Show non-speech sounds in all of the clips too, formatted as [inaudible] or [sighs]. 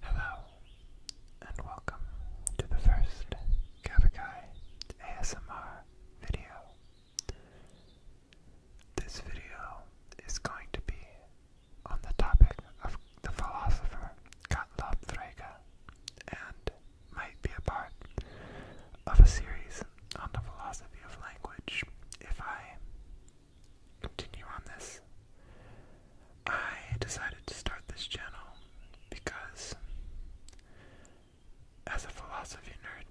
Hello, and welcome to the first Kavakai ASMR video. This video is going to be on the topic of the philosopher Gottlob Frege and might be a part of a series on the philosophy of language if I continue on this. I decided to start this channel because, as a philosophy nerd,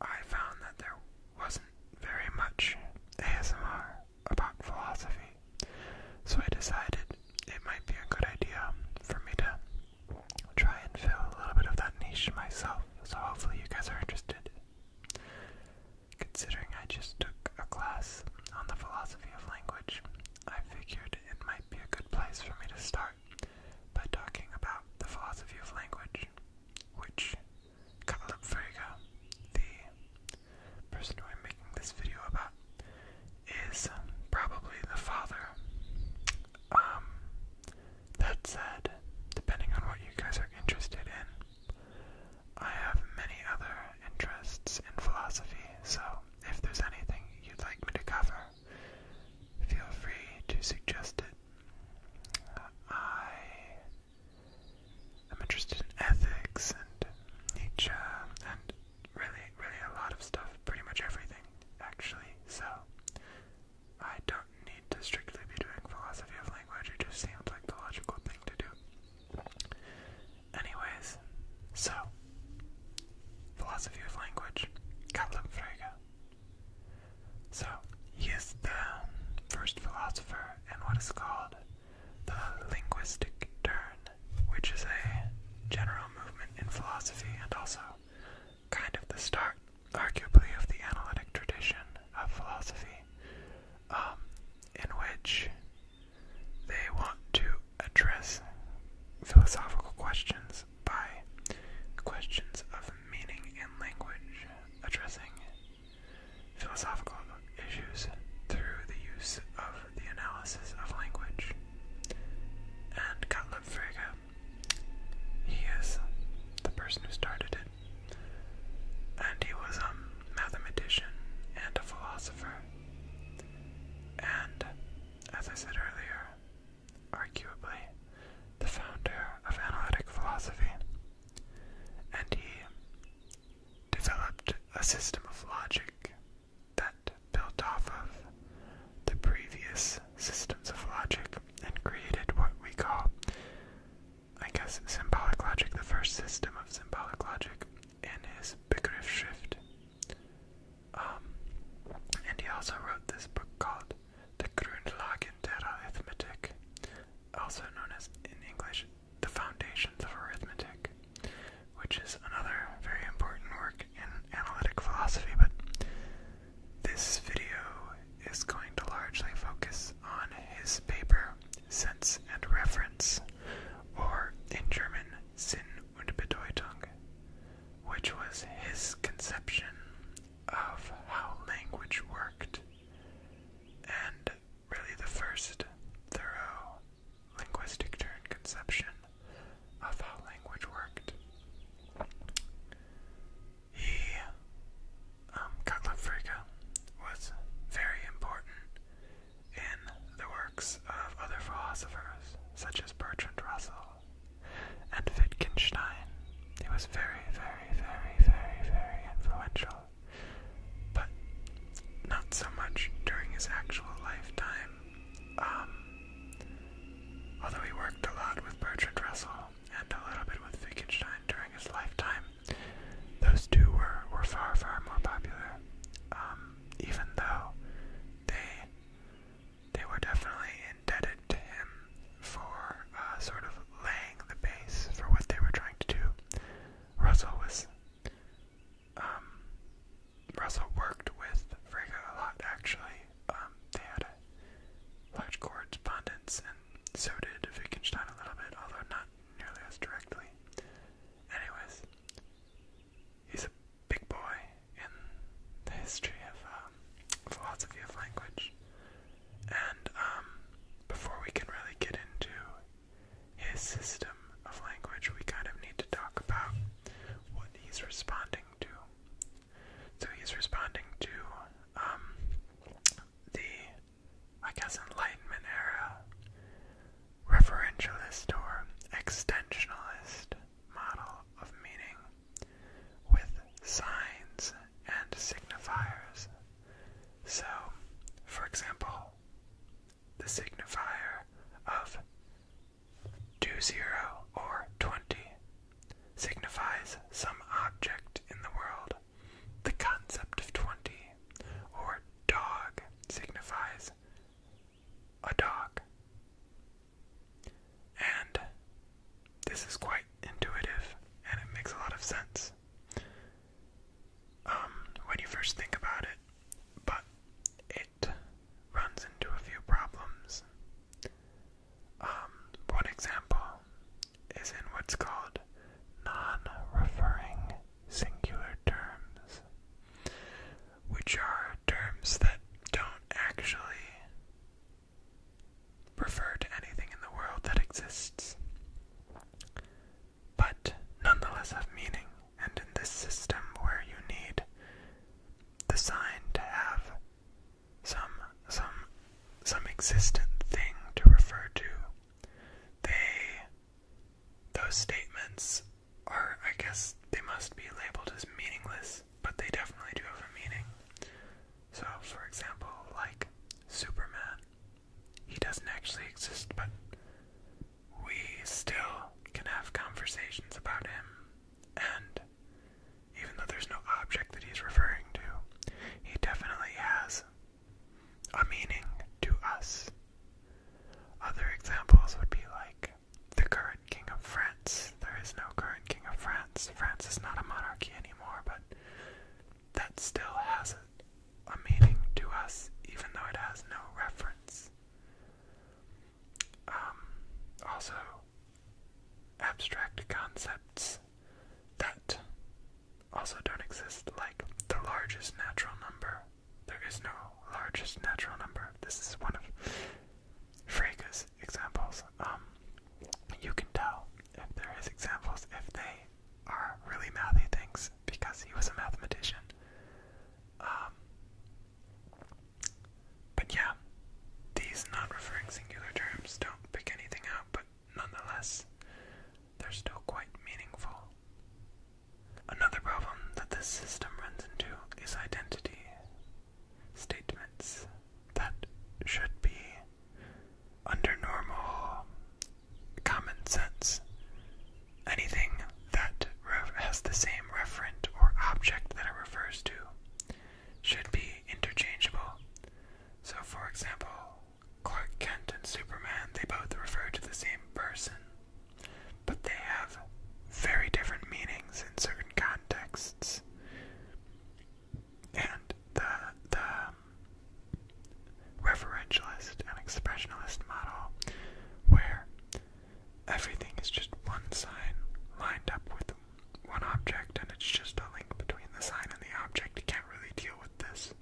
I found that there wasn't very much ASMR about philosophy. So I decided it might be a good idea for me to try and fill a little bit of that niche myself. So hopefully you guys are interested. Considering I just took a class on the philosophy of language, I figured it might be a good place for me to start by talking about the philosophy of language, which Caleb Frege, the person who I'm making this video about, is um, probably the father. Um, that said, depending on what you guys are interested in, I have many other interests in philosophy, so if there's anything you'd like me to cover, feel free to suggest it. I am interested in ethics and nature, and really, really a lot of stuff, pretty much everything actually, so I don't need to strictly be doing philosophy of language, it just seems like the logical thing to do. Anyways, so philosophy of language, Gottlob Frege. So he is the first philosopher in what is called the linguistic turn, which is a general movement in philosophy and also kind of the start, arguably, of the analytic tradition of philosophy. Um, in which they want to address philosophical questions by questions of meaning and language, addressing philosophical issues through the use of the analysis of language. And Gottlob Frege, he is the person who started it, and he was um mathematician, and a philosopher, and, as I said earlier, arguably the founder of analytic philosophy. And he developed a system of logic that built off of the previous systems of logic and created what we call I guess symbolic logic, the first system of symbolic logic, in his Begriffsschrift. Um, and he also wrote this book called De Grundlagen der Arithmetik, also known as in English The Foundations of Arithmetic, which is another very important work in analytic philosophy. But this video is going to largely focus on his paper, Sense and Reference, or in German, Sinn und Bedeutung, which was his conception of how language worked, and really the first thorough linguistic turn conception of how language worked. He, Gottlob um, Frege was very important in the works of other philosophers, such as Bertrand Russell and Wittgenstein. He was very, very, very, very, very influential, but not so much during his actual lifetime. Um, although he worked a lot with Bertrand Russell and a little bit with Wittgenstein during his lifetime, those two were, were far, far more popular. Um, even though they they were definitely indebted to him for uh, sort of laying the base for what they were trying to do. Russell was um, Russell worked with Frege a lot actually. Um, they had a large correspondence, and so did Wittgenstein a little bit, although not nearly as directly. Anyways, he's a big boy in the history of um, philosophy of language. And um, before we can really get into his system of language, we kind of need to talk about what he's responding to. So he's responding to um, the I guess Enlightenment era referentialist or extensionalist model of meaning with signs and signifiers. So, for example, the signifier of 20 or 20 signifies some object in the world the concept of 20 or dog signifies a dog. And this is quite intuitive and it makes a lot of sense um, when you first think about it, but it runs into a few problems. Um, one example is in what's called non referring singular terms, which are terms that don't actually refer to anything in the world that exists, but nonetheless have meaning. And in this system where you need the sign to have some some some existent thing to refer to, they those statements are, I guess, they must be labeled as meaningless, but they definitely do have a meaning. So, for example, like Superman, he doesn't actually exist, but we still can have conversations about him, and even though there's no object that he's referring to, he definitely has a meaning to us. Other examples would be like the current king of France. There is no current king of France. France is not a monarchy anymore, but that still has a, meaning to us, even though it has no reference. Um, also, abstract concepts that also don't exist, like the largest natural number. There is no largest natural number. This is one of Frege's examples. Um, you can tell if there is examples if they are really mathy things because he was a mathematician. Um, but yeah, these non-referring singular terms don't pick anything out, but nonetheless, they're still quite meaningful. Another problem that this system runs into is identity. Statements that should be, under normal common sense, anything that has the same referent or object that it refers to should be interchangeable. So, for example, Clark Kent and Superman, they both refer to the same person, but they have very different meanings in certain contexts. And the the um, referentialist and expressionalist model where everything is just one sign lined up with one object and it's just a link between the sign and the object. You can't really deal with this.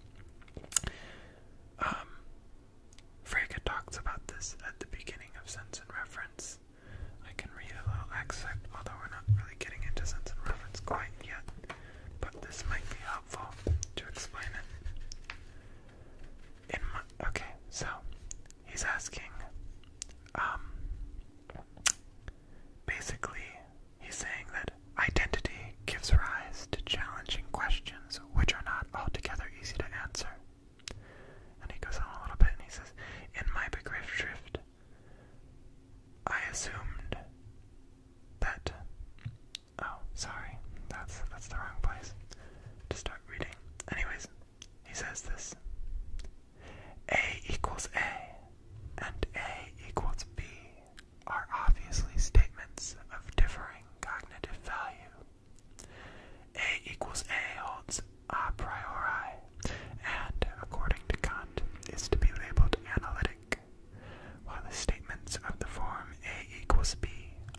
Um, Frege talks about this at the beginning of Sense and Reference. I can read a little excerpt, although we're not really getting into Sense and Reference quite yet, but this might be helpful to explain it. okay, so he's asking, um, basically, he's saying that identity gives rise to challenging questions which are not altogether easy to answer. And he goes on a little bit and he says, In my Begriffsschrift, I assumed that. Oh, sorry, that's that's the wrong place to start reading. Anyways, he says this: A equals A, and A equals B, are obviously statements of differing cognitive value. A equals A holds a priori, and according to Kant, is to be labeled analytic, while the statements of the form A equals B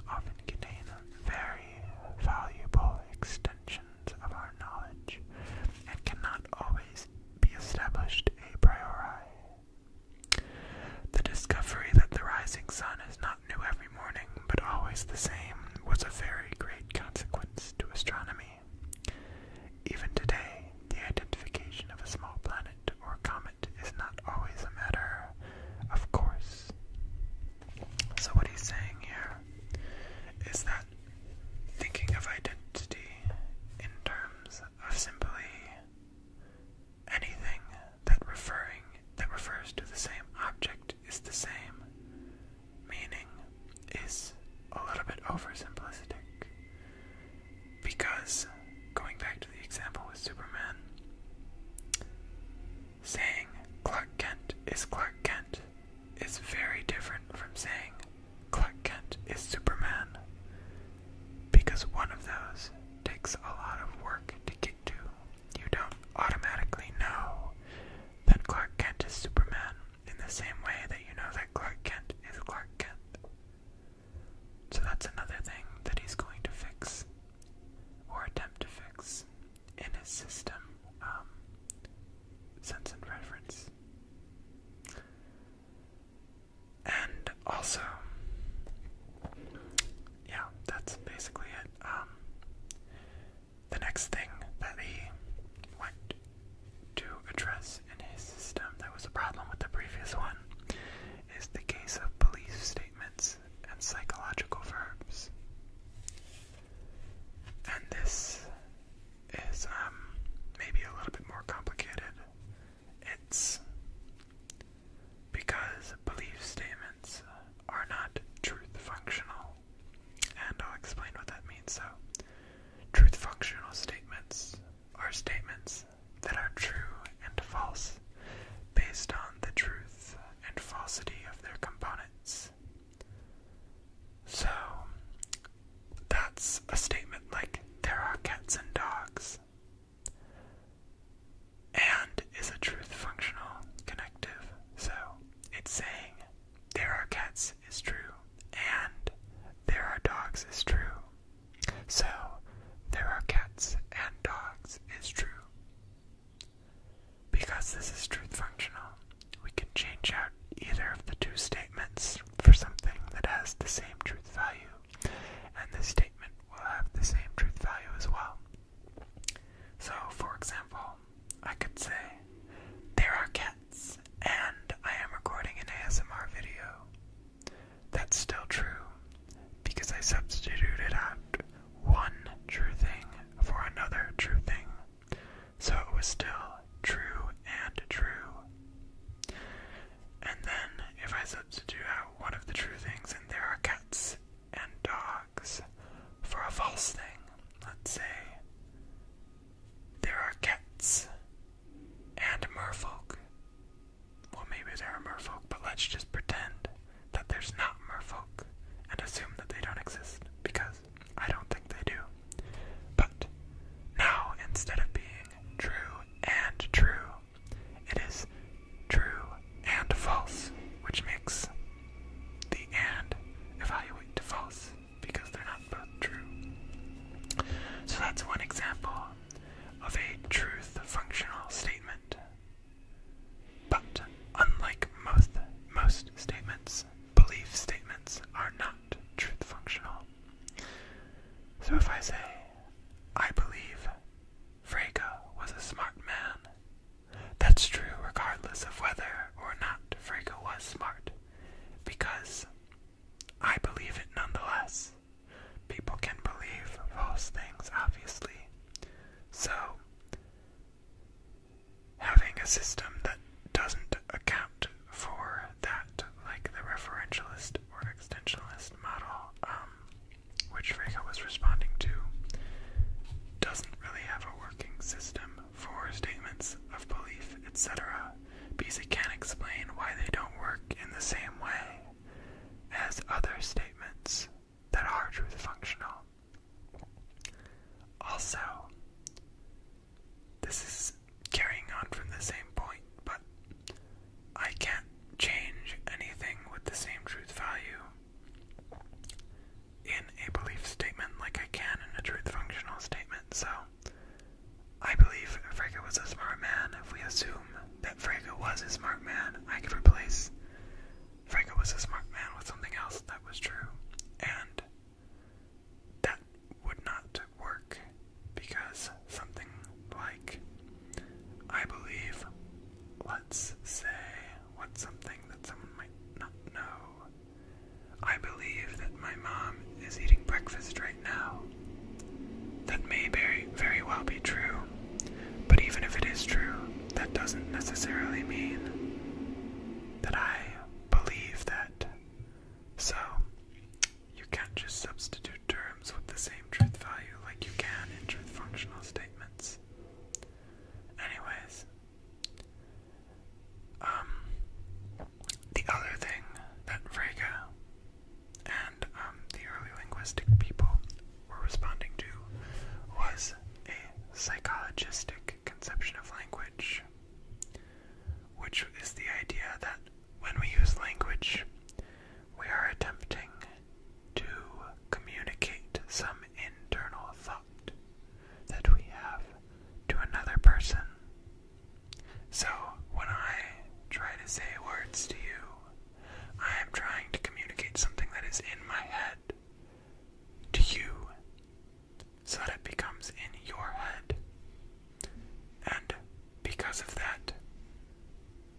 often contain very valuable extensions of our knowledge and cannot always be established a priori. The discovery that the rising sun is not new every morning, but always the same, was of very great consequence to astronomy. Even today, the identification of a small planet or comet is not always a matter of course. So, what he's saying here is that thinking of identity in terms of simply Anything that referring that refers to the same object is the same. Meaning is a little bit oversimplistic. Because going back to the example with Superman, saying Clark Kent is Clark Kent is very different from saying Clark Kent is Superman because one of those takes a lot of work to get to. You don't automatically know that Clark Kent is Superman in the same way that you know that Clark Kent is Clark Kent. So that's another thing that he's going to fix, or attempt to fix, in his system, um, sense and reference. And also, yeah, that's basically it. Um, the next thing that he went to address in his system that was a problem with the previous one is the case of police statements and psychological verbs. And this is um, maybe a little bit more complicated it's because belief statements are not truth functional, and I'll explain what that means. So, truth functional statements are statements that are true and false based on the truth and falsity of their components. So, that's a statement like, there are cats and dogs and is a truth functional connective. So it's saying there are cats is true and there are dogs is true. So there are cats and dogs is true. Because this is truth functional, we can change out either of the two statements for something that has the same truth value and this statement will have the same truth value as well. So, for example, I could say, There are cats, and I am recording an ASMR video. That's still true, because I substituted out one true thing for another true thing. So it was still true and true. And then, if I substitute uh, out one of the true things, and there are cats and dogs, for a false thing, let's say there are cats and merfolk. Well, maybe there are merfolk, but let's just pretend that there's not merfolk and assume that they don't exist because I don't think they do. But now, instead of being true and true, it is true and false, which makes the and evaluate to false because they're not both true. So that's one example of a truth functional statement. But unlike most most statements, belief statements are not truth functional. So if I say I believe Frege was a smart man. That's true regardless of whether or not Frege was smart, because I believe it nonetheless. People can believe false things, obviously. So, having a system that doesn't account for that, like the referentialist or extensionalist model, um, which Frege was responding to, doesn't really have a working system for statements of belief, etc., because it can't explain why they don't work in the same way as other statements that are truth functional. Also, this is carrying on from the same point, but I can't change anything with the same truth value in a belief statement like I can in a truth functional statement. So, I believe Frege was a smart man. If we assume that Frege was a smart man, I could replace Frege was a smart man with something else that was true. And that would not work because something like I believe, let's say, what's something that someone might not know? I believe that my mom is eating breakfast right now. That may very, very well be true, but even if it is true, that doesn't necessarily mean that I believe that. So, you can't just substitute terms with the same truth value like you can in truth functional statements. Anyways, um, the other thing that Frege and um, the early linguistic people were responding to was a psychologistic conception of language, which is the idea that when we use language, we are attempting to communicate some internal thought that we have to another person. So, when I try to say words to you, I am trying to communicate something that is in my head to you so that it becomes in your head. And because of that,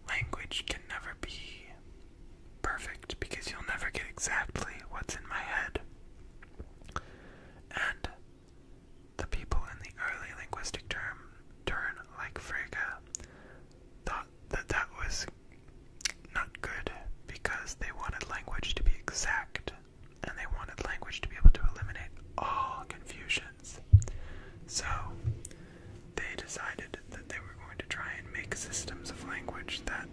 language can never be perfect because you'll never get exactly what's in my head. And the people in the early linguistic term turn like Frege thought that that was not good because they wanted language to be exact and they wanted language to be able to eliminate all confusions. So they decided that they were going to try and make systems of language that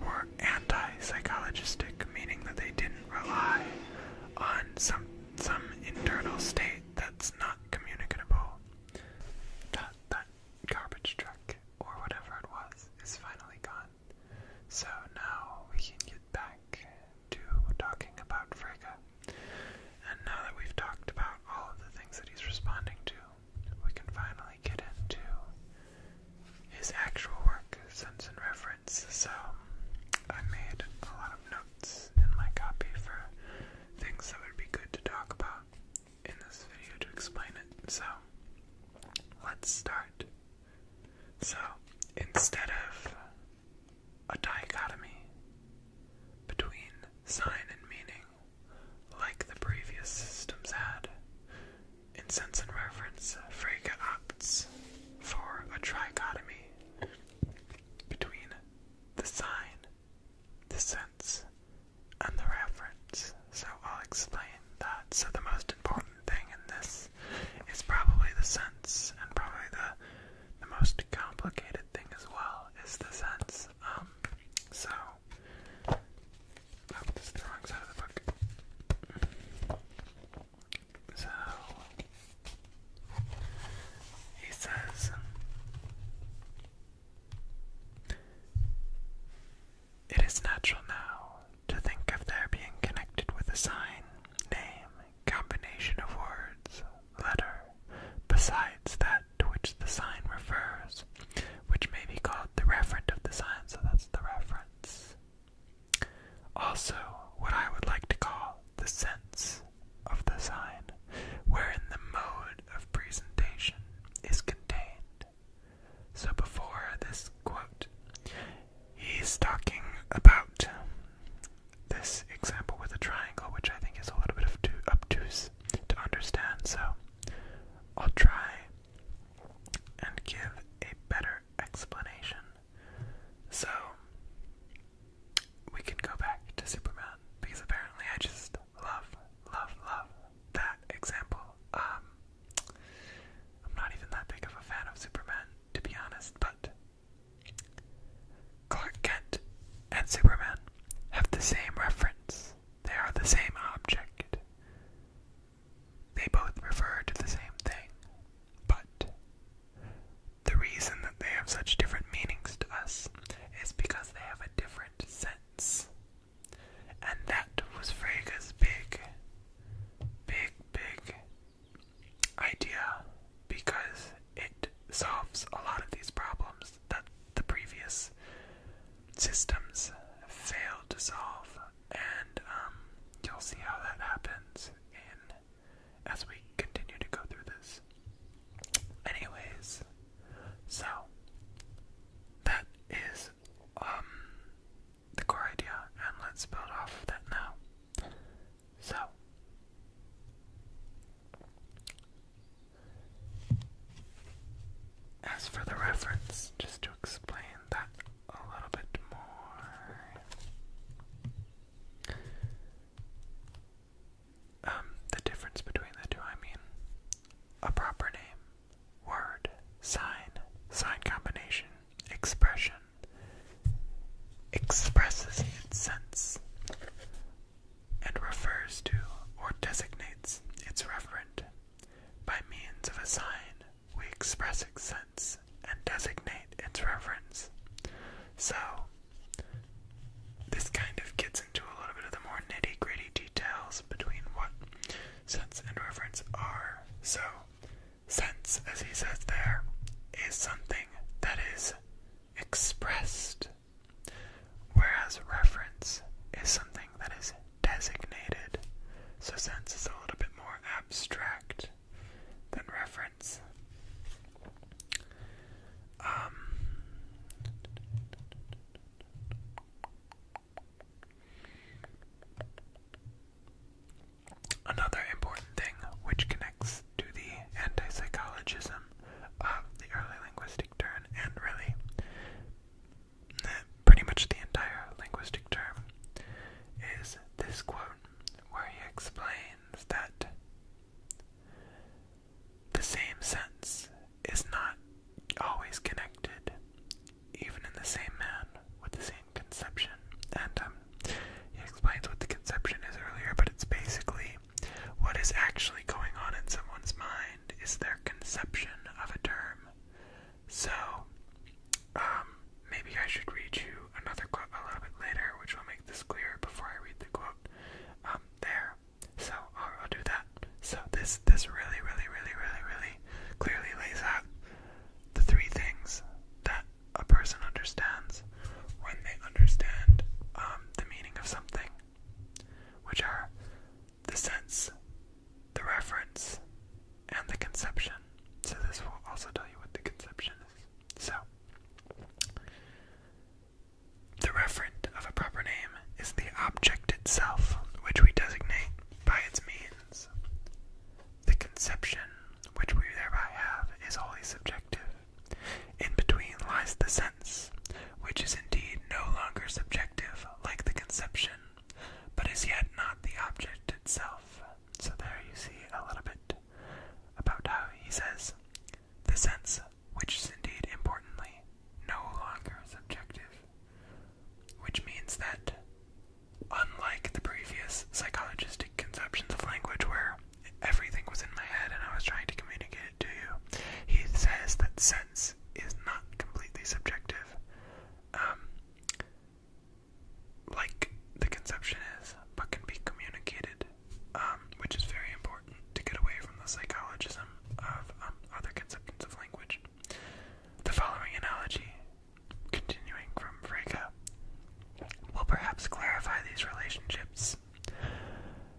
were anti-psychologistic, meaning that they didn't rely on some some internal state that's not communicable. That that garbage truck or whatever it was is finally gone. So now we can get back to talking about Frege. And now that we've talked about all of the things that he's responding to, we can finally get into his actual work, Sense and Reference. So, I made a lot of notes in my copy for things that would be good to talk about in this video to explain it. So, let's start. So, instead of a dichotomy between sign and meaning, like the previous systems had. In sense and reference, Frege opts for a trichotomy between the sign, the sense, and the reference. So I'll explain that. So the most important thing in this is probably the sense and probably the the most complicated thing as well is the sense. Um, so, oh, this is the wrong side of the book. So, he says. It is natural now to think of their being connected with a sign, name, combination of words, letter, besides that to which the sign refers, which may be called the referent of the sign, so that's the reference. Also, what I would like to call the sense of the sign, wherein the mode of presentation is contained. So, before this quote, he's talking about this example with a triangle, which I think is a little bit of too obtuse to understand, so I'll try and give a better explanation. So, we can go back to Superman, because apparently I just love, love, love that example. Um, I'm not even that big of a fan of Superman, to be honest, but Clark Kent and Superman have the same reference. They are the same object. They both refer to the same thing. But the reason that they have such different meanings to us is because they have a different sense. And that was Fraga's big, big, big idea because it solves a lot of these problems that the previous systems failed to solve, and um, you'll see how that happens as we continue to go through this. Anyways, so that is um, the core idea, and let's build off of that now. So as for the reference, just to explain that a little bit more. Um, the difference between the two, I mean, a proper name, word, sign, sign combination, expression expresses its sense and refers to or designates its referent. By means of a sign, we express its sense and designate its reference. So, this kind of gets into a little bit of the more nitty gritty details between what sense and reference are. So, sense, as he says there, is something that is expressed Whereas reference is something that is designated, so sense is a little bit more abstract than reference. Um, another important thing which connects to the antipsychologism of the early linguistic turn and really eh, pretty much the entire linguistic term is this quote where he explains that the same sense is not always connected even in the same man with the same conception and um, he explains what the conception is earlier but it's basically what is actually going on in someone's mind is their conception of a term. So, um, maybe I should read you another quote a little bit later, which will make this clearer before I read the quote. Um, there. So I'll, do that. So this this really, really, really, really, really clearly lays out the three things that a person understands when they understand um, the meaning of something which are the sense, the reference, and the conception. So, this will also tell you what the conception is. So, the referent of a proper name is the object itself, which we designate by its means. The conception, which we thereby have, is wholly subjective in between lies the sense, which is indeed no longer subjective like the conception, but is yet not the object itself. So there you see a little bit about how he says the sense, which is indeed importantly no longer subjective, which means that unlike the previous psychologistic conceptions of language where Everything was in my head, and I was trying to communicate it to you. He says that sense is not completely subjective, um, like the conception is, but can be communicated, um, which is very important to get away from the psychologism of um, other conceptions of language. The following analogy, continuing from Frege, will perhaps clarify these relationships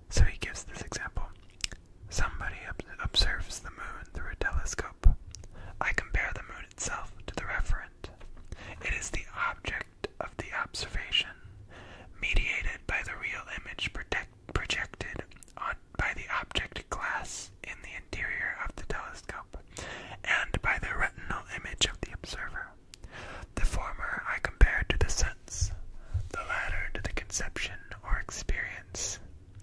so he gives this example. Somebody observes the moon through a telescope. I compare the moon itself to the referent. It is the object of the observation, mediated by the real image projected by the object glass in the interior of the telescope, and by the retinal image of the observer. The former I compare to the sense, the latter to the conception or experience.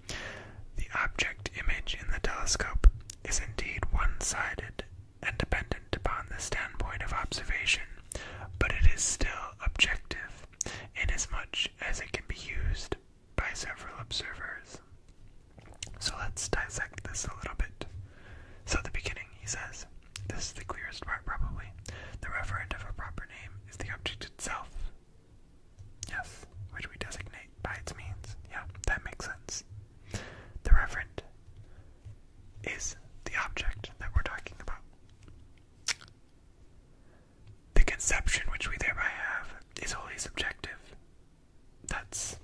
The object image in the telescope is indeed one-sided and dependent upon the standpoint of observation, but it is still objective inasmuch as it can be used by several observers. So let's dissect this a little bit. So, at the beginning, he says, this is the clearest part, probably. The referent of a proper name is the object itself. Yes, which we designate by its means. Yeah, that makes sense. The referent is the object that we're talking about. The conception which we thereby have is wholly subjective. That's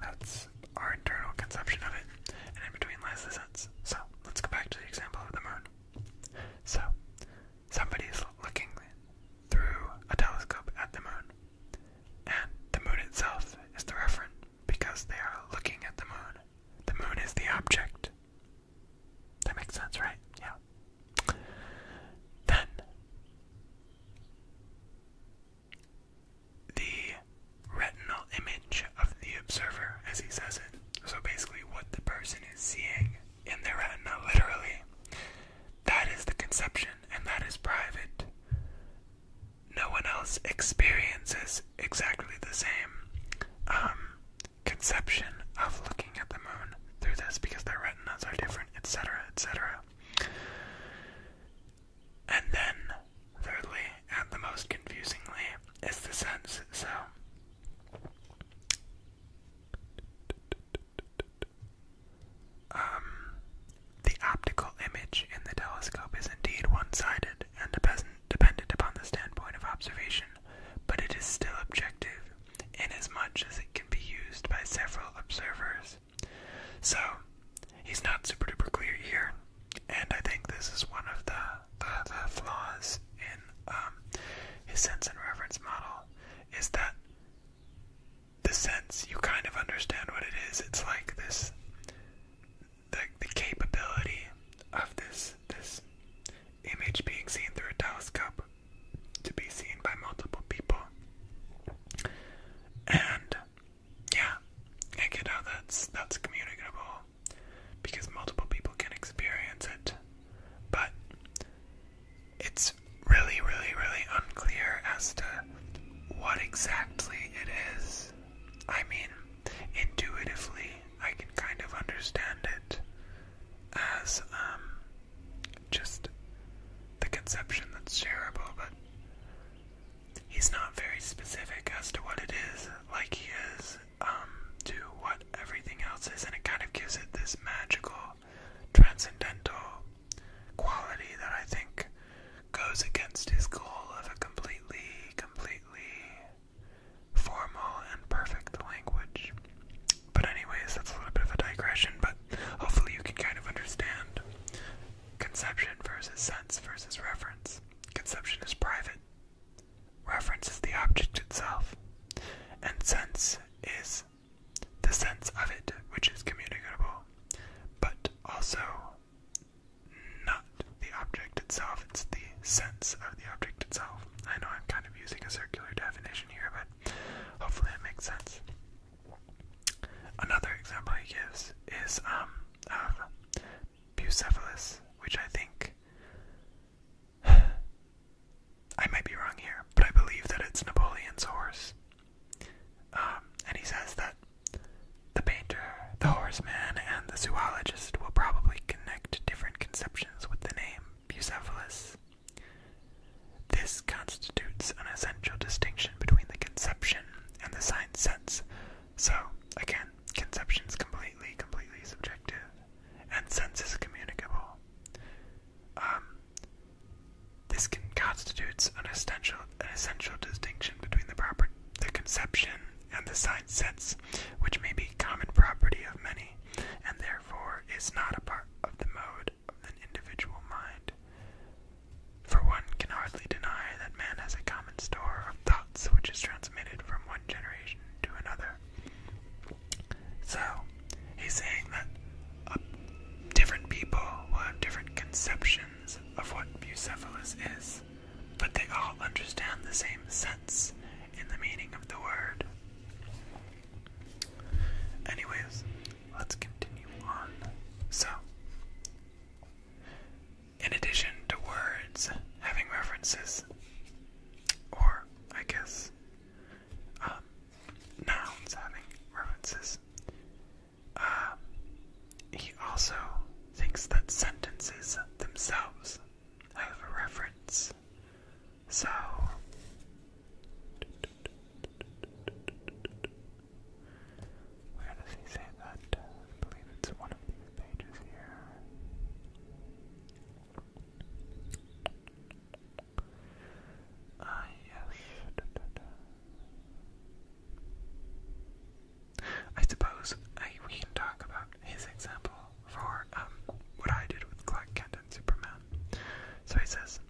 that's our internal conception of it. And in between lies this so let's go back to the example of the moon. So somebody is looking through a telescope at the moon, and the moon itself is the referent because they are looking at the moon. The moon is the object. That makes sense, right? Yeah. Then the retinal image of the observer, as he says it. So basically, what the person is seeing in their retina, literally, that is the conception, and that is private. No one else experiences exactly the same um, conception of looking at the moon through this because their retinas are different, etc., etc. And then thirdly, and the most confusingly, is the sense so. Um, the optical image in the telescope is indeed one sided and dependent upon the standpoint of observation, but it is still objective, inasmuch as it can be used by several observers. So, he's not super duper clear here, and I think this is one of the, the, flaws in um, his sense and reference model is that the sense you kind of understand what it is. It's like this the the capability of this this image being seen through a telescope to be seen by multiple people. And yeah, I get how that's that's communicable because multiple people can experience it. But it's really, really, really unclear as to what exactly it is. I mean, intuitively, I can kind of understand it as um, just the conception that's shareable, but he's not very specific as to what it is, like he is to um, what everything else is, and it kind of gives it this magical, transcendental quality that I think goes against his goal of a completely, completely formal and perfect language. But, anyways, that's a little bit of a digression, but hopefully, you can kind of understand conception versus sense versus reference. Conception is private, Reference is the object itself, and sense is the sense of it, which is communicable, but also not the object itself, it's the sense of the object itself. I know I'm kind of using a circular definition here, but hopefully it makes sense. Another example he gives is um, Bucephalus, which I think. [sighs] I might be wrong here, but I believe that it's Napoleon's horse. Um, and he says that the painter, the horseman, and the zoologist will probably connect different conceptions with the name Bucephalus. This constitutes an essential distinction between the conception and the sign sense. So, again, Conception is completely, completely subjective, and sense is communicable. Um, this constitutes an essential, an essential distinction between the proper, the conception and the sign sense, which may be common property of many, and therefore is not a part of the mode of an individual mind. For one can hardly deny that man has a common store of thought which is transmitted from one generation to another. So, he's saying that uh, different people will have different conceptions of what bucephalus is, but they all understand the same sense in the meaning of the word. Anyways, let's continue on. So, in addition to words having references, or I guess um, nouns having references, uh, he also thinks that sentences themselves have a reference. So. Where does he say that? I believe it's one of these pages here. Ah, yes. I suppose we can talk about his example for um, what I did with Clark Kent and Superman. So he says,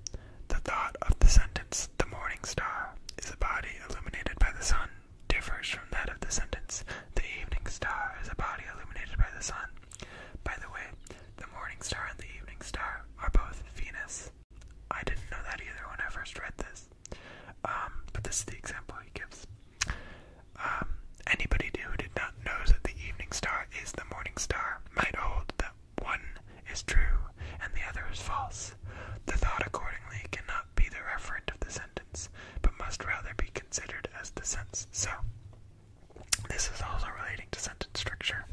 The thought of the sentence, the morning star, is a body illuminated by the sun differs from that of the sentence, The evening star is a body illuminated by the sun. By the way, the morning star and the evening star are both Venus. I didn't know that either when I first read this. Um, but this is the example he gives. Um, anybody who did not know that the evening star is the morning star might hold that one is true and the other is false. The thought accordingly cannot be the referent of the sentence but must rather be considered as the sense. So, this is also relating to sentence structure,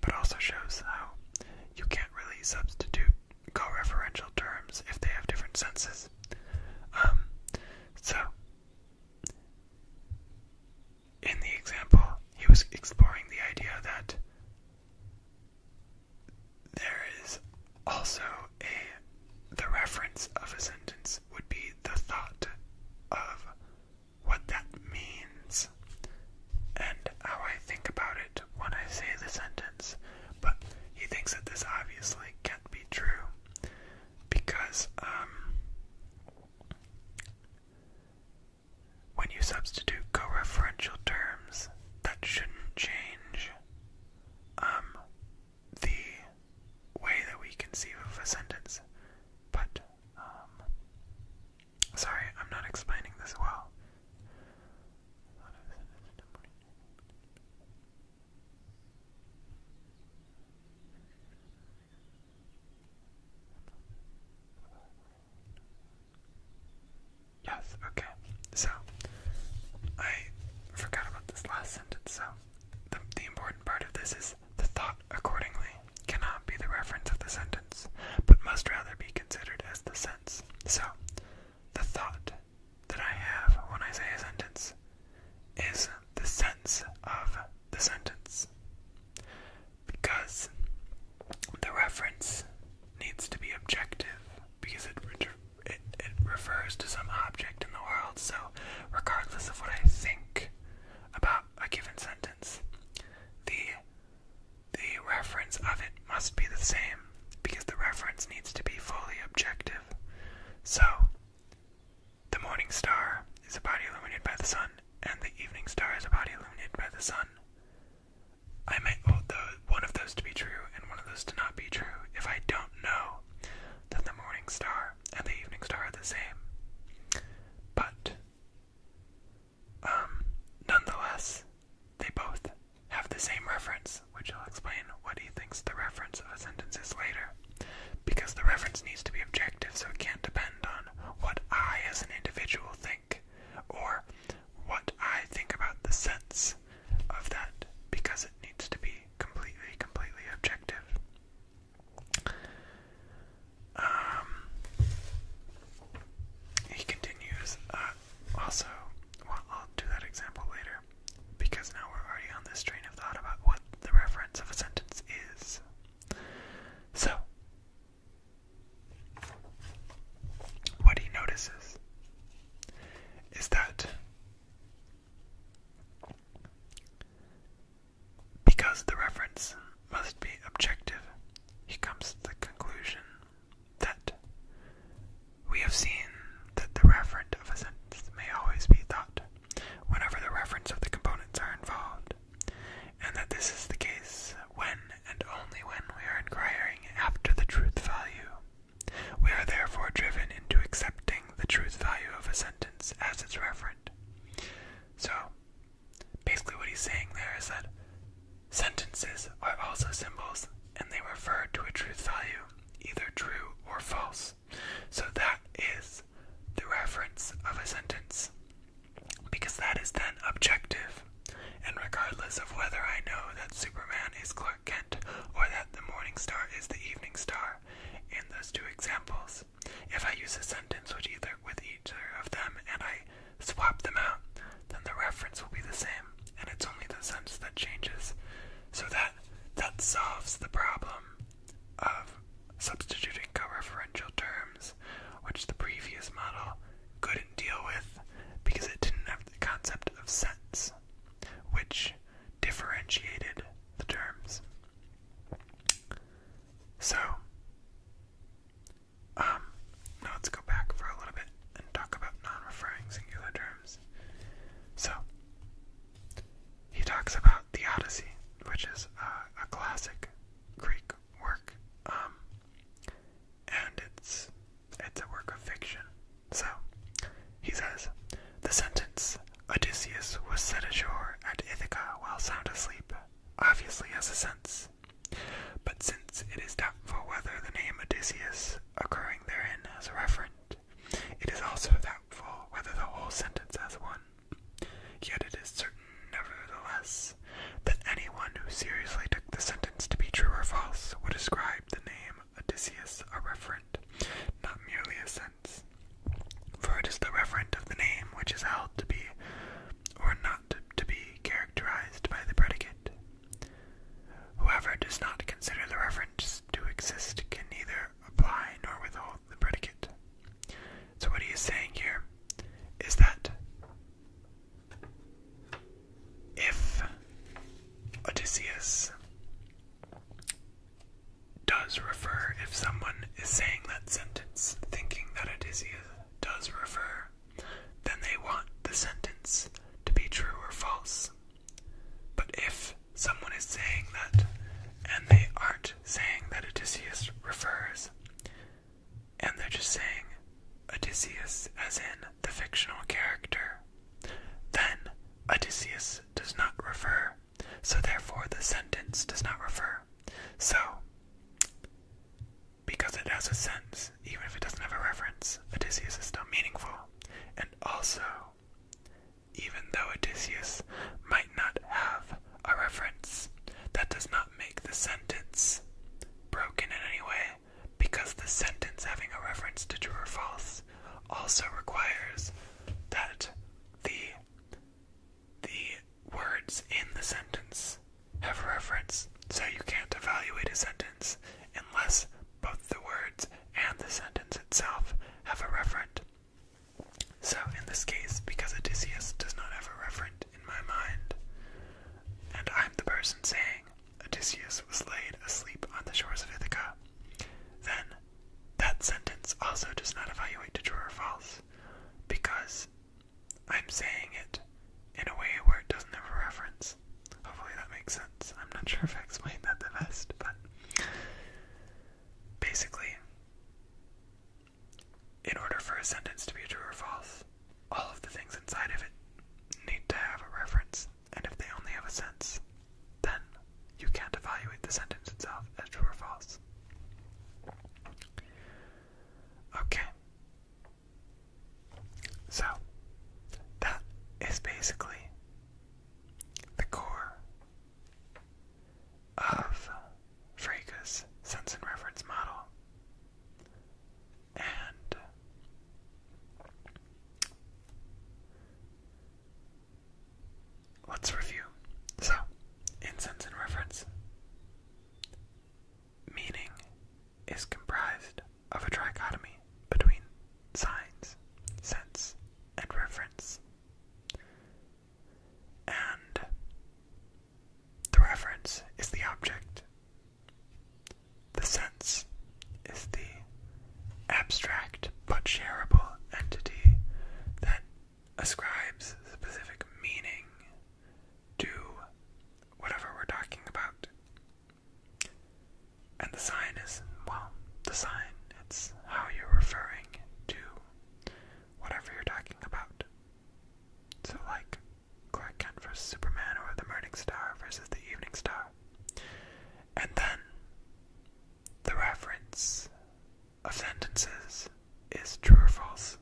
but also shows how you can't really substitute co-referential terms if they have different senses. Um, so, in the example, he was exploring the idea that there is also a the reference of a sentence would be the thought of what that means and how I think about it when I say the sentence. But he thinks that this obviously can't be true because um, when you substitute co-referential terms that shouldn't change um the way that we conceive of a sentence. But, um, sorry, I'm not explaining this well. Yes, okay. So, I forgot about this last sentence, so the, important part of this is the thought accordingly cannot be the reference of the sentence, but must rather be considered as the sense. So, the thought that I have when I say a sentence is the sense of the sentence. Because the reference needs to be objective because it it, refers to some object in the world. So, regardless of what I think about a given sentence, the the reference of it must be the same because the reference needs to be fully objective. So, the morning star is a body illuminated by the sun, and the evening star is a body illuminated by the sun. I might hold one of those to be true and one of those to not be true if I don't know that the morning star and the evening star are the same. But um, nonetheless, they both have the same reference, which I'll explain what he thinks the reference of a sentence is later. Because the reference needs to be objective, so it can't depend on what I as an individual think, or what I think about the sense of that because it needs to be completely, completely objective. Um, he continues, uh, also, I'll do that example later because now we're already on this train of thought about what the reference of a sentence is. So, what he notices is that because the reference must be objective, he comes to the conclusion that we have seen that the referent of a sentence may always be thought whenever the reference of the components are involved, and that this is the case when and only when we are inquiring after the truth value we are therefore driven into accepting the truth value of a sentence as its referent. So, basically, what he's saying there is that sentences are also symbols and they refer to a truth value, either true or false. So, that is the reference of a sentence because that is then objective. And regardless of whether I know that Superman is close or that the morning star is the evening star, in those two examples. If I use a sentence with either, with either of them and I swap them out, then the reference will be the same, and it's only the sense that changes. So that that solves the problem of substituting co-referential terms, which the previous model couldn't deal with because it didn't have the concept of sense, which differentiated the terms. So, um, now let's go back for a little bit and talk about non referring singular terms. So, he talks about the Odyssey, which is a, classic Greek work, um, and it's it's a work of fiction. So, he says, The sentence Odysseus was set ashore at Ithaca while sound asleep obviously has a sense, but since it is doubtful whether the name Odysseus occurring therein has a referent, it is also doubtful whether the whole sentence has one. Yet it is certain, nevertheless, that anyone who seriously took the sentence to be true or false would ascribe the name Odysseus a referent, not merely a sense. For it is the referent of the name which is held to be or not to be characterized by the predicate. Whoever does not consider the reference to exist can neither apply nor withhold the predicate. So, what he is saying here is that if Odysseus does refer, if someone is saying that sentence thinking that Odysseus does refer, then they want the sentence to be true or false. But if someone is saying that and they aren't saying that Odysseus refers, and they're just saying Odysseus as in the fictional character, then Odysseus does not refer. So, therefore, the sentence does not refer. So, because it has a sense, even if it doesn't have a reference, Odysseus is still meaningful. And also, even though Odysseus might not have a reference, that does not make the sentence broken in any way, because the sentence having a reference to true or false also requires that the the words in the sentence have reference, so you can't evaluate a sentence unless both the words and the sentence itself have a referent. So in this case, because Odysseus does not have a referent in my mind, and I'm the person saying Odysseus was laid asleep on the shores of Ithaca, then that sentence also does not evaluate to true or false because I'm saying it in a way where it doesn't have a reference. Hopefully that makes sense. I'm not sure if I explained that the best, but basically, in order for a sentence to be true or false, all of the things inside of it need to have a reference and if they only have a sense, then you can't evaluate the sentence itself as true or false. Okay. So, that is basically the core of Frege's sense and reference model. And Let's review. So, incense and reference. Meaning is comprised of a trichotomy between signs, sense, and reference. And the reference is the object. The sense is the abstract but shareable entity that ascribes specific meaning to whatever we're talking about. And the sign is, well, the sign, it's how you're referring to whatever you're talking about. So, like Clark Kent versus Superman, or the Morning Star versus the Evening Star. And then the reference of sentences is true or false,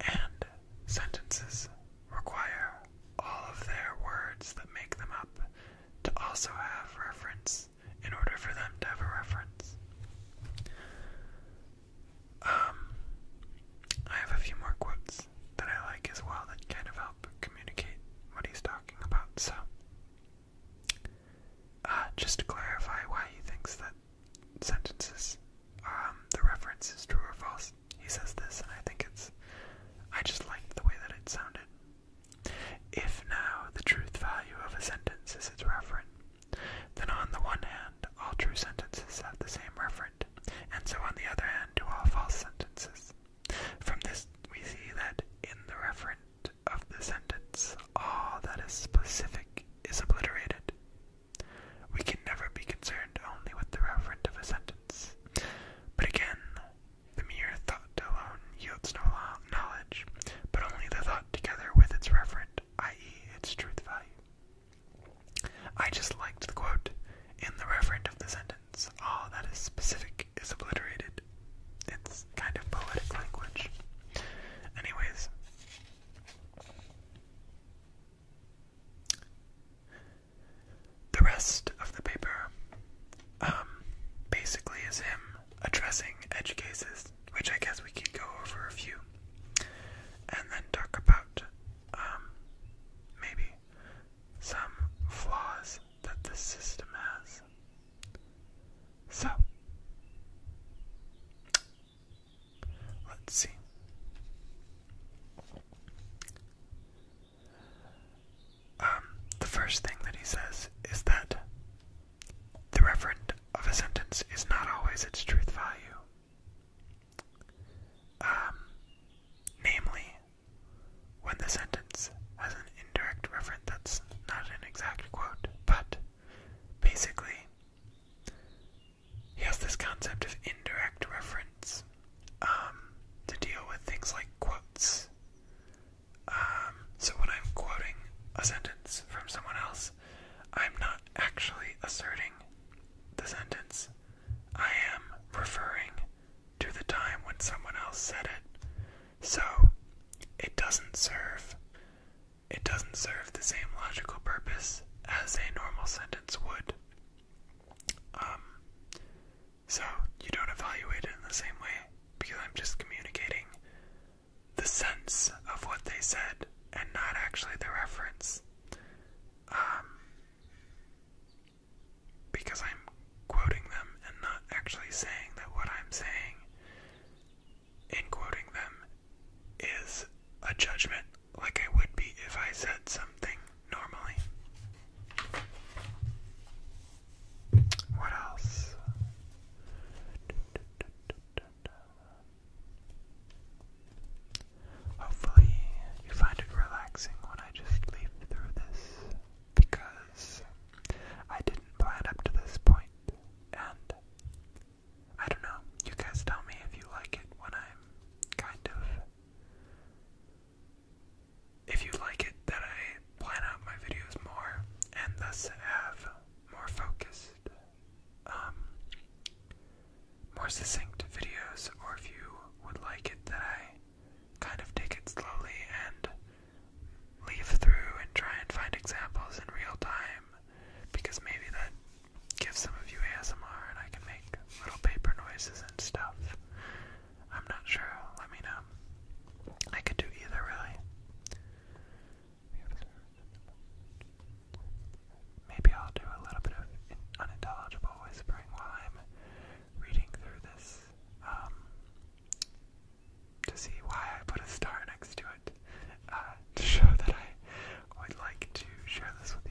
and sentences require all of their words that make them up to also have reference in order for them to have a reference. Um, I have a few more quotes that I like as well that kind of help communicate what he's talking about. So, uh, just to clarify why he thinks that sentences, um, the reference is true or false. He says this, and I think it's. I just liked the way that it sounded. If now the truth value of a sentence is its referent, then on the one hand, all true sentences have the same referent, and so on the other hand do all false sentences. From this, we see that in the referent of the sentence, all ah, that is specific is obliterated. We can never be concerned only with the referent of a sentence. But again, the mere thought alone yields no knowledge, but only the thought together with its referent, i.e., its truth value. I just liked the quote in the referent of the sentence all ah, that is specific is obliterated. It's kind of poetic language. Anyways, the rest of the paper um, basically is him addressing edge cases, which I guess we could go over a few, and then talk about um, maybe some flaws that this system has. So, let's see. Um, the first thing that he says is that the referent of a sentence is not always its truth value. Um, namely, when the sentence has an indirect reference, that's not an exact quote, but basically, he has this concept of indirect reference um, to deal with things like quotes. Um, so when I'm quoting a sentence from someone else, I'm not actually asserting the sentence. I am referring to the time when someone else said it. So, it doesn't serve it doesn't serve the same logical purpose as a normal sentence would. Um, so you don't evaluate it in the same way because I'm just communicating the sense of what they said and not actually the reference. Um, because I'm quoting them and not actually saying that what I'm saying in quoting them is a judgment like I would be if I said something normally. What else? Hopefully, you find it relaxing when I just leaf through this because I didn't plan up to this point, and I don't know. You guys tell me if you like it when I'm kind of. If you like it that I plan out my videos more and thus have more focused, um, more succinct videos, or if you would like it that I kind of take it slowly and leaf through and try and find examples in real time because maybe that gives some of you ASMR and I can make little paper noises and stuff. I'm not sure. Let me know. I could do either, really. Maybe I'll do a little bit of unintelligible whispering while I'm reading through this um, to see why I put a star next to it, uh, to show [laughs] that I would like to share this with you.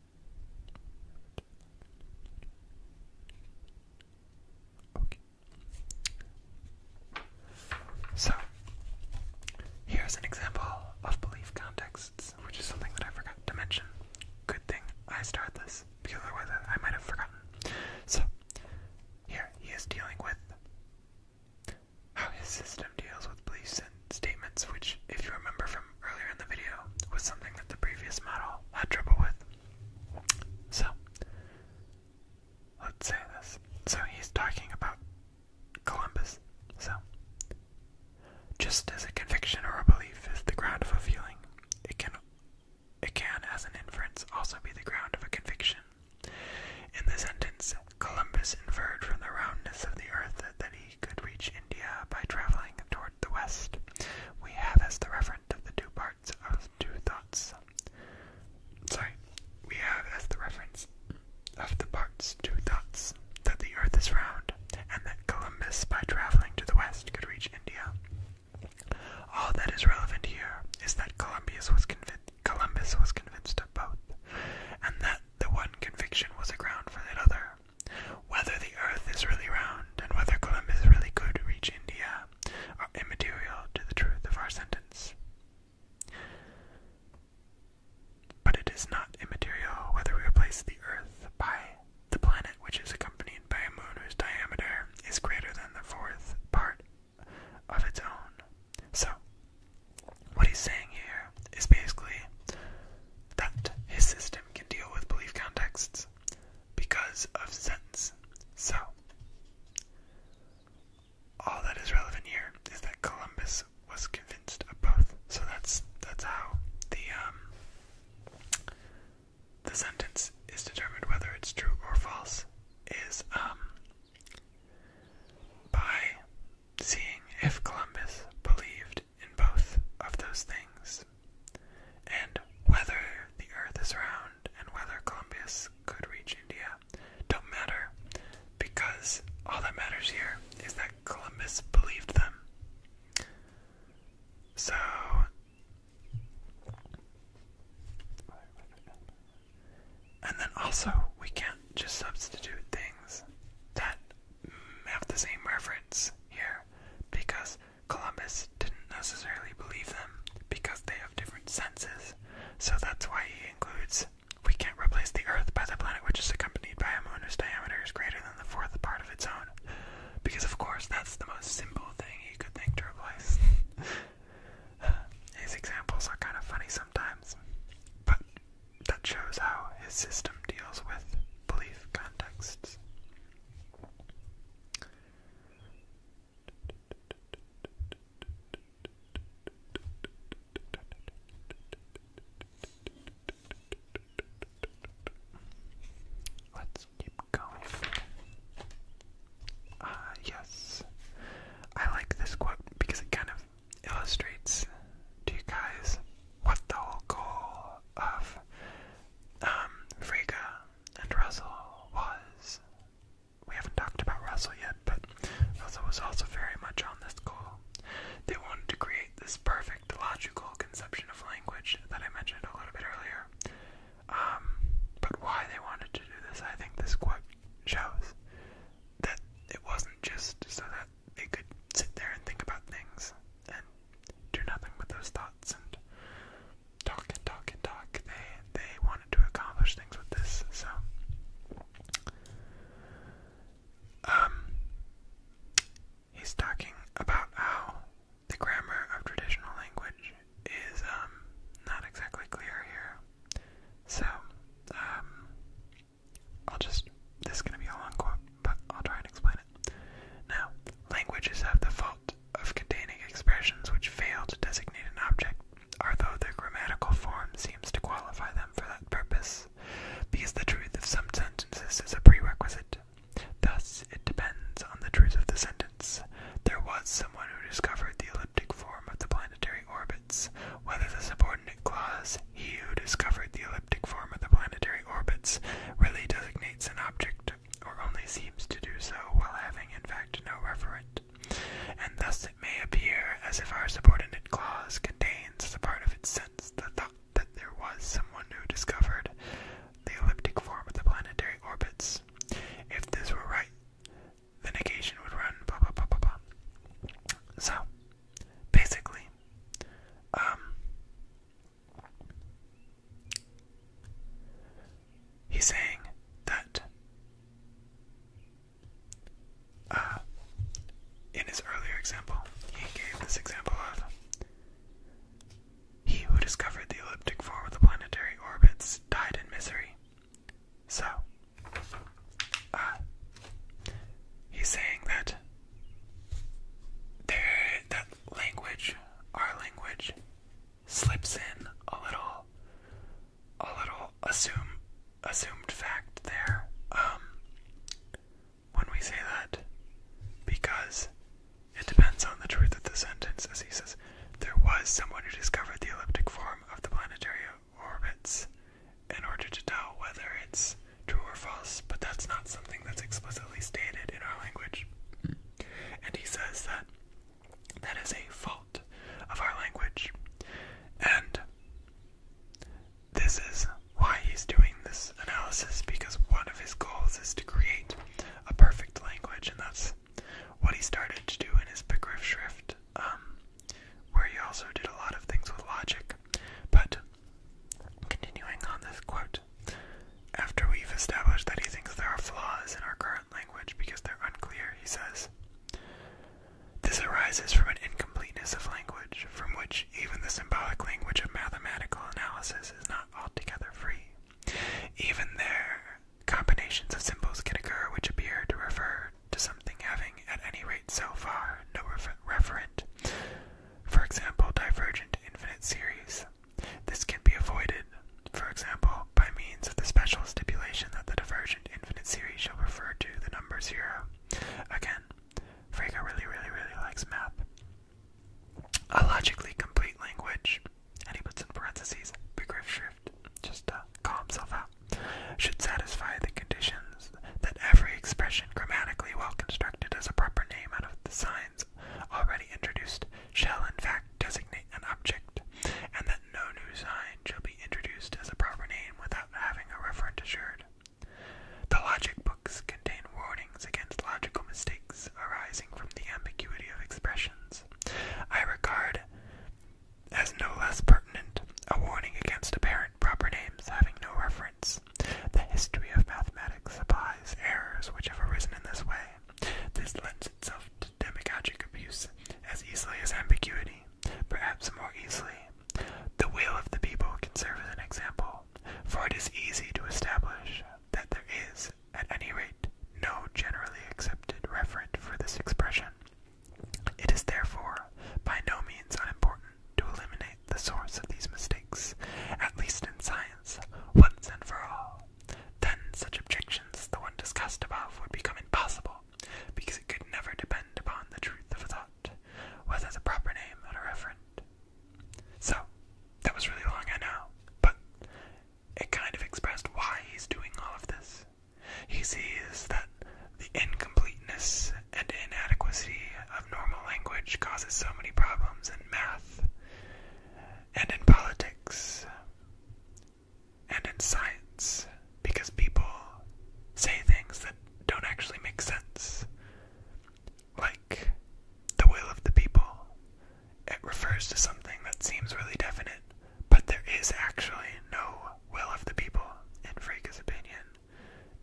Okay. So, here's an example of belief contexts, which is something that I forgot to mention. Good thing I started this, because otherwise I might have forgotten. So, here he is dealing with how his system deals with beliefs statements, which, if you remember from earlier in the video, was something that the previous model had trouble with. So, let's say this. So, he's talking about Columbus. So, just as a conviction or a belief is the ground of a feeling, it can, it can, as an inference, also be the ground of a conviction. In the sentence, Columbus inferred from the roundness of the earth that, he could reach India by traveling toward the west. We have as the reference of the two parts of two thoughts. Sorry, we have as the reference of the parts two thoughts that the earth is round and that Columbus, by traveling to the west, could reach India. All that is relevant here is that Columbus was, Columbus was convinced of both, and that the one conviction was a ground for the other. Whether the Earth is really round and whether Columbus really could reach India are immaterial to the truth of our sentence. But it is not immaterial whether we replace the Earth by the planet which is accompanied by a moon whose diameter is greater than the fourth part of its own. So, what he's saying here is basically that his system can deal with belief contexts because of sense. So, all that is relevant here is that Columbus was convinced of both. So that's that's how the um, the sentence is determined whether it's true or false is um, by seeing if Columbus believed in both of those things. And whether the earth is round and whether Columbus could reach India don't matter because all that matters here is that Columbus believed them. So and then also we can't just substitute things that have the same reference here because Columbus didn't necessarily believe them because they have different senses. So that's why he includes we can't replace the Earth by the planet which is accompanied by a moon whose diameter is greater than the fourth part of its own. Because, of course, that's the most simple thing he could think to replace. [laughs] His examples are kind of funny sometimes, but that shows how his system deals with belief contexts. Let's keep going. Ah, yes. I like this quote because it kind of illustrates to you guys what the whole goal of um, Frege and Russell was. We haven't talked about Russell yet, but Russell was also very much on this goal. They wanted to create this perfect logical conception of language that I mentioned a little bit earlier. Um, but why they wanted to do this, I think this quote shows that it wasn't just so that they could sit there and think about things and do nothing with those thoughts and talk and talk and talk. They they wanted to accomplish things with this, so um he's talking about how the grammar of traditional language is um not exactly clear here. So, um I'll just, this is going to be a long quote, but I'll try and explain it. Now, languages have the fault of containing expressions which fail to designate an object, although their grammatical form seems to qualify them for that purpose, because the truth of some sentences is a prerequisite. Thus, it depends on the truth of the sentence. There was someone who discovered the elliptic form of the planetary orbits, whether the subordinate clause he who discovered the elliptic form of the planetary orbits, really designates an object, or only seems to do so while having in fact no referent. And thus it may appear as if our subordinate clause contains as a part of its sense the thought that there was someone who discovered the elliptic form of the planetary orbits. If this were right, the negation would run blah blah blah blah blah. So, basically. Um, he's saying that uh, in his earlier example, he gave this example of he who discovered the elliptic form of the planetary orbits died in misery. So, uh, he's saying that there that language, our language, slips in a little, a little assume, assumed fact there. Um, when we say that, because it depends on the truth of the sentence, as he says, there was someone who discovered the elliptic form of the planetary orbits in order to tell whether it's true or false, but that's not something that's explicitly stated in our language. And he says that that is a fault of our language. And this is why he's doing this analysis because one of his goals is to create a perfect language, and that's what he started to do in his Pickriff Shrift, um, where he also did a lot of things with logic. But Continuing on this quote, after we've established that he thinks there are flaws in our current language because they're unclear, he says, This arises from an incompleteness of language, from which even the symbolic language of mathematical analysis is not altogether free. Even there, combinations of symbols can occur which appear to refer to something having, at any rate so far, no referent for example, divergent infinite series. This can be avoided, for example, by means of the special stipulation that the divergent infinite series shall refer to the number zero. Again, Frege really, really, really likes math. A logically complete language, and he puts in parentheses, Big bigger shift. just to calm himself out, should satisfy the conditions that every expression grammatically well constructed as a proper name out of the signs already introduced shall in fact designate an object, and that no new sign shall be introduced as a proper name without having a reference assured. The logic books contain warnings against logical mistakes arising from the ambiguity of expressions. I regard as no less pertinent a warning against apparent proper names having no reference the history of mathematics applies errors which have arisen in this way. This lends itself to demagogic abuse as easily as ambiguity, perhaps more easily. The will of the people can serve as an example, for it is easy to establish that there is, at any rate, no generally accepted reference for this expression. It is therefore by no means unimportant to eliminate the source of these mistakes, at least in science, once and for all. Then such objections, the one discussed above, would become impossible, because it could never depend upon the truth of a thought, whether the proper name or a referent. So, that was really long, I know, but it kind of expressed why he's doing all of this. He sees that the incomplete incompleteness and inadequacy of normal language causes so many problems in math and in politics and in science because people say things that don't actually make sense. Like the will of the people. It refers to something that seems really definite, but there is actually no will of the people, in Freka's opinion.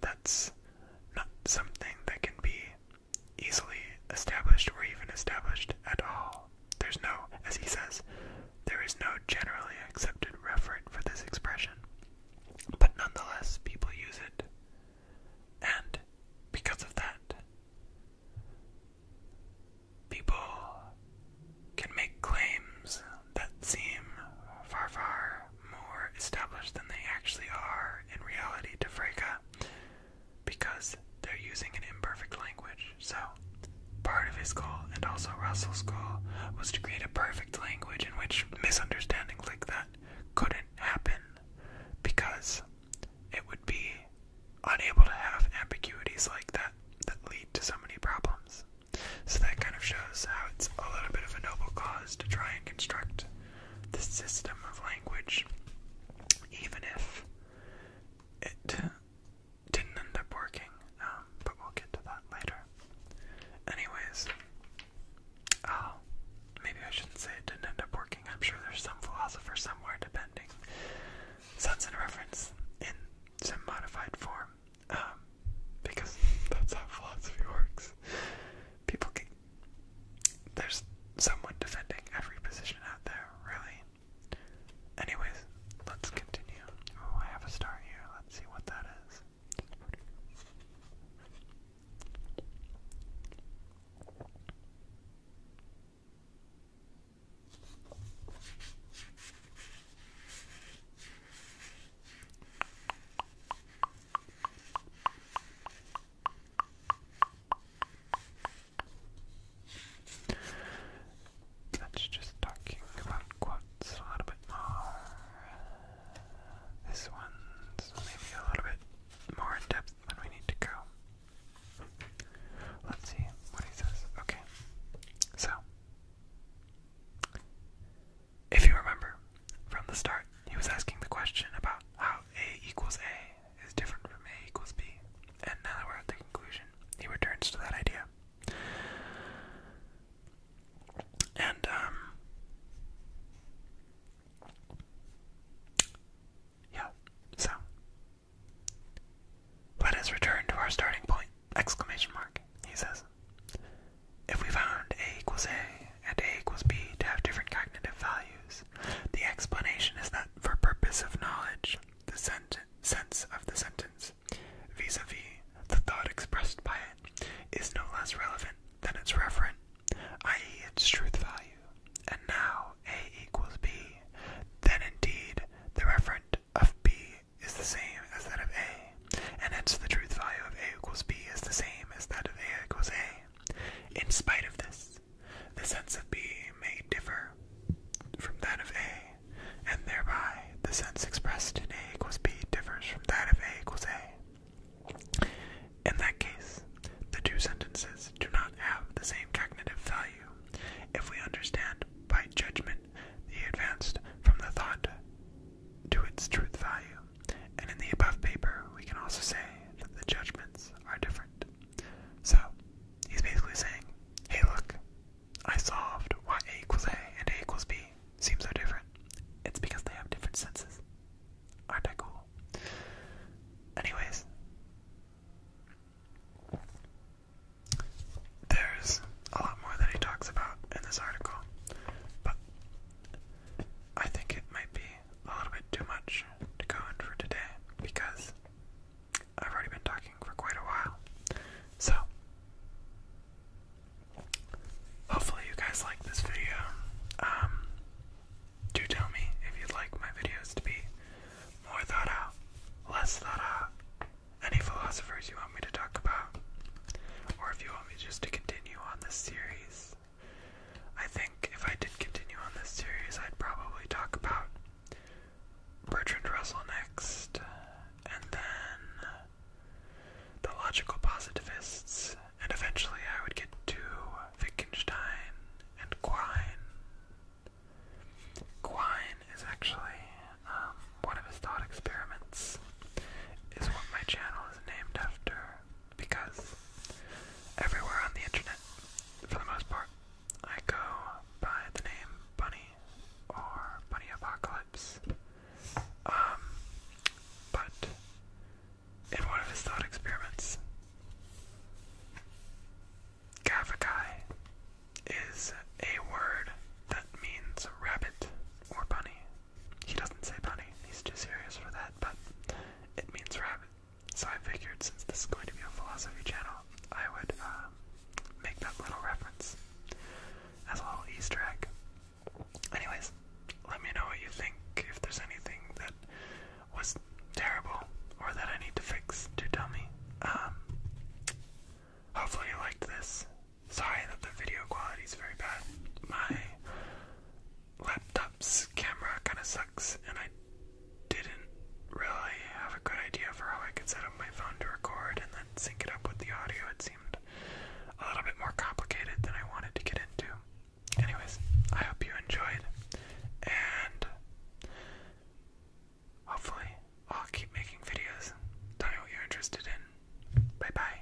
That's not something that can be easily established or even established at all. There's no, as he says, there is no generally accepted referent for this expression, but nonetheless, people use it. And because of that, people can make claims that seem far, far more established than they actually are in reality to Freka because they're using an imperfect language. So, part of his goal, and also Russell's goal, was to create a perfect language in which misunderstanding like that couldn't happen because it would be unable to have ambiguities like that that lead to so many problems. So that kind of shows how it's a little bit of a noble cause to try and construct the system of language, even if it didn't end up working. Um, but we'll get to that later. Anyways, uh, maybe I shouldn't say it didn't end up working. I'm sure there's some philosopher somewhere, depending. So that's reference in some modified form, um, because that's how philosophy works. People there's someone defending every position out there, really. Anyways, let's continue. Oh, I have a star here. Let's see what that is. That's just talking about quotes a little bit more. This one's maybe a little bit more in depth than we need to go. Let's see what he says. Okay. So, if you remember from the start, he was asking the question about how a equals a is different from a equals b, and now that we're at the conclusion, he returns to that idea. And um, yeah, so let us return to our starting point! Exclamation mark, he says. If we found a equals a and a equals b to have different cognitive values, the explanation is that for purpose of knowledge, the sense of the sentence vis a -vis the thought expressed by it is no less relevant than its referent, i.e. its truth value. And now a equals b, then indeed the referent of b is the same as that of a, and hence the truth value of a equals b is the same as that of a equals a. In spite of this, the sense of b may differ from that of a, and thereby the sense expressed in a equals b differs from that of a equals a. In that case, the two sentences do not have the same cognitive value if we understand by judgment the advanced from the thought to its truth value, and in the above paper, we can also say that the judgments are different. So, he's basically saying, hey, look, I solved why equals A and A equals B seems so different. It's because they have different senses. Aren't I cool? Anyways, there's a lot more that he talks about in this article, but I think it might be a little bit too much to go in for today because I've already been talking for quite a while. So, hopefully, you guys like this video. Um, do tell me if you'd like my videos to be more thought out, less thought out, any philosophers you want me to talk about, or if you want me just to continue on this series I think if I did continue on this series, I'd probably talk about Bertrand Russell next, and then the logical positivists, and eventually I would get to Wittgenstein and Quine. Quine is actually um, one of his thought experiments, is what my channel is named after because everywhere on the internet, for the most part, I go by the name Bunny or Bunny Apocalypse. Um, but in one of his thought experiments, Gavakai is a word that means rabbit or bunny. He doesn't say bunny, he's too serious for that, but it means rabbit. So I figured since this is going to be a philosophy channel, I would um, make that little reference as a little Easter egg. Anyways, let me know what you think, if there's anything that was terrible or that I need to fix, do tell me. Um, hopefully you liked this. Sorry that the video quality is very bad. My laptop's camera kind of sucks, and I didn't really have a good idea for how I could set up my phone to record and then sync it up with the audio. It seemed a little bit more complicated than I wanted to get into. Anyways, I hope you enjoyed, and hopefully, I'll keep making videos. Tell me what you're interested in. Bye bye.